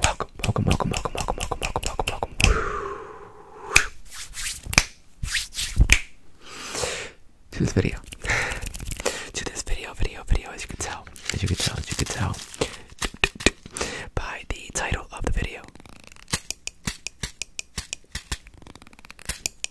welcome, welcome, welcome, welcome, welcome, welcome, welcome, welcome, to this video. to this video, video, video, as you can tell, as you can tell, as you can tell by the title of the video.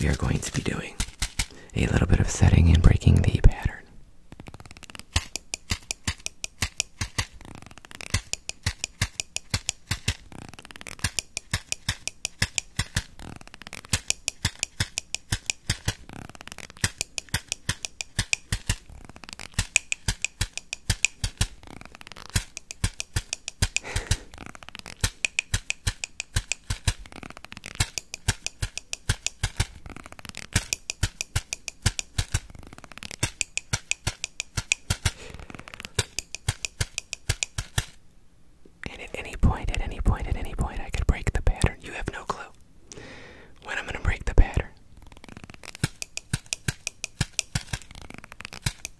we are going to be doing a little bit of setting and breaking the pattern. And at any point, at any point, at any point, I could break the pattern. You have no clue when I'm going to break the pattern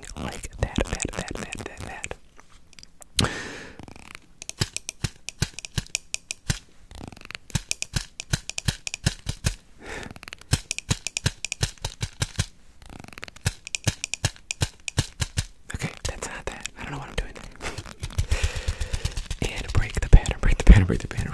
something like that, that, that, that, that, that. Okay, that's not that. I don't know what I'm doing. and break the pattern, break the pattern, break the pattern.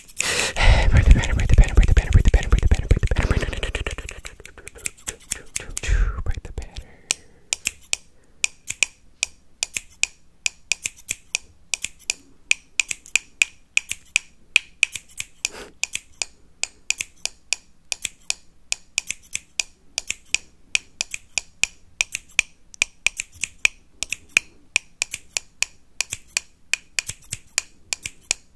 Breathe the pattern, breathe the pattern, breathe the pattern, breathe the pattern, breathe the pattern, breathe the pattern, breathe the pattern, breathe the pattern. Breathe and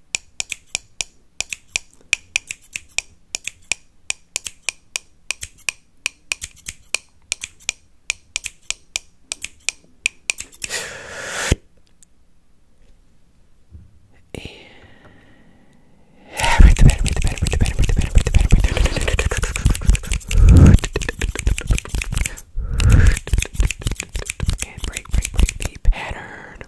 break, break, break the pattern.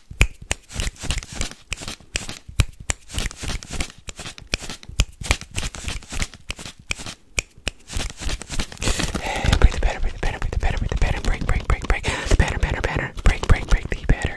Hey, break the pattern, break the pattern, break the pattern, break the pattern, break, break, break, break, the pattern, pattern, pattern, break, break, break the pattern.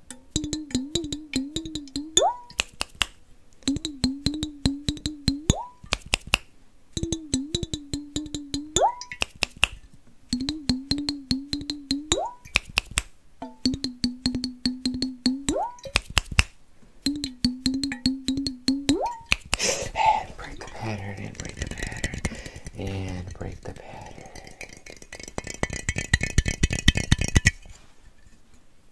And break the pattern, and break the pattern, and break the pattern.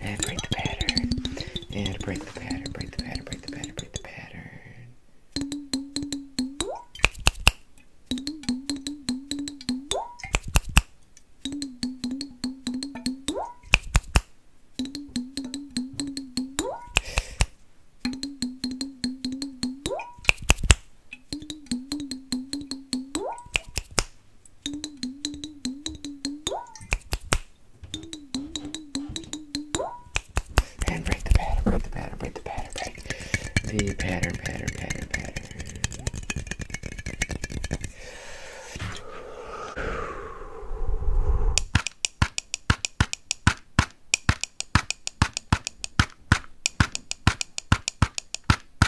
And break the pattern. And break the pattern, break the pattern, break the pattern, break the pattern. And break the pattern, break the pattern, break the pattern, break the pattern, pattern, pattern, pattern.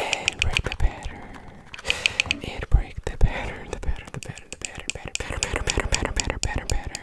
And break the pattern. It break the pattern, the pattern, the pattern, the pattern, pattern, pattern, pattern, pattern, pattern, pattern, pattern, pattern.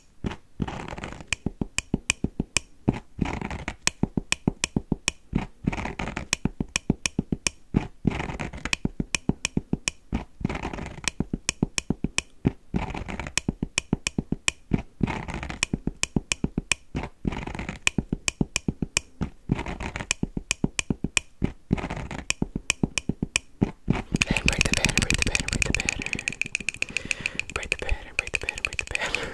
Then break the batter, break the batter, break the batter. Break the pattern, break the pattern, break the pattern.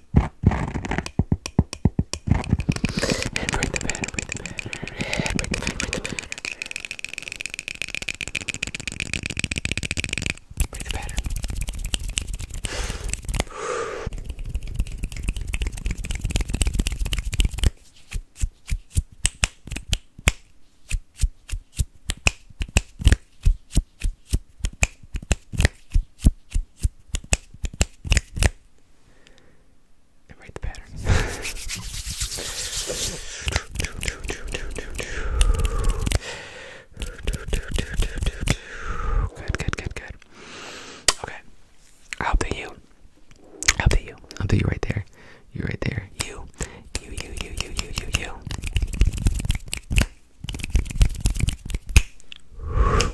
And break the pattern, break the pattern, and break the pattern, break the pattern. Break the pattern. Break the pattern and write the pattern. good, good, good, good. Okay. I'll do you. I'll do you. I'll do you right there. You right there. You. You, you, you, you, you, you, you.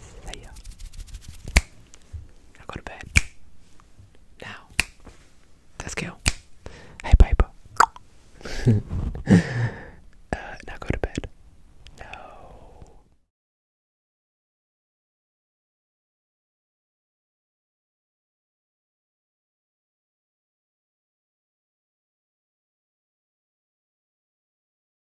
See ya. Now go to bed. Now. Let's go. Hey, Piper. Uh, now go to bed. No.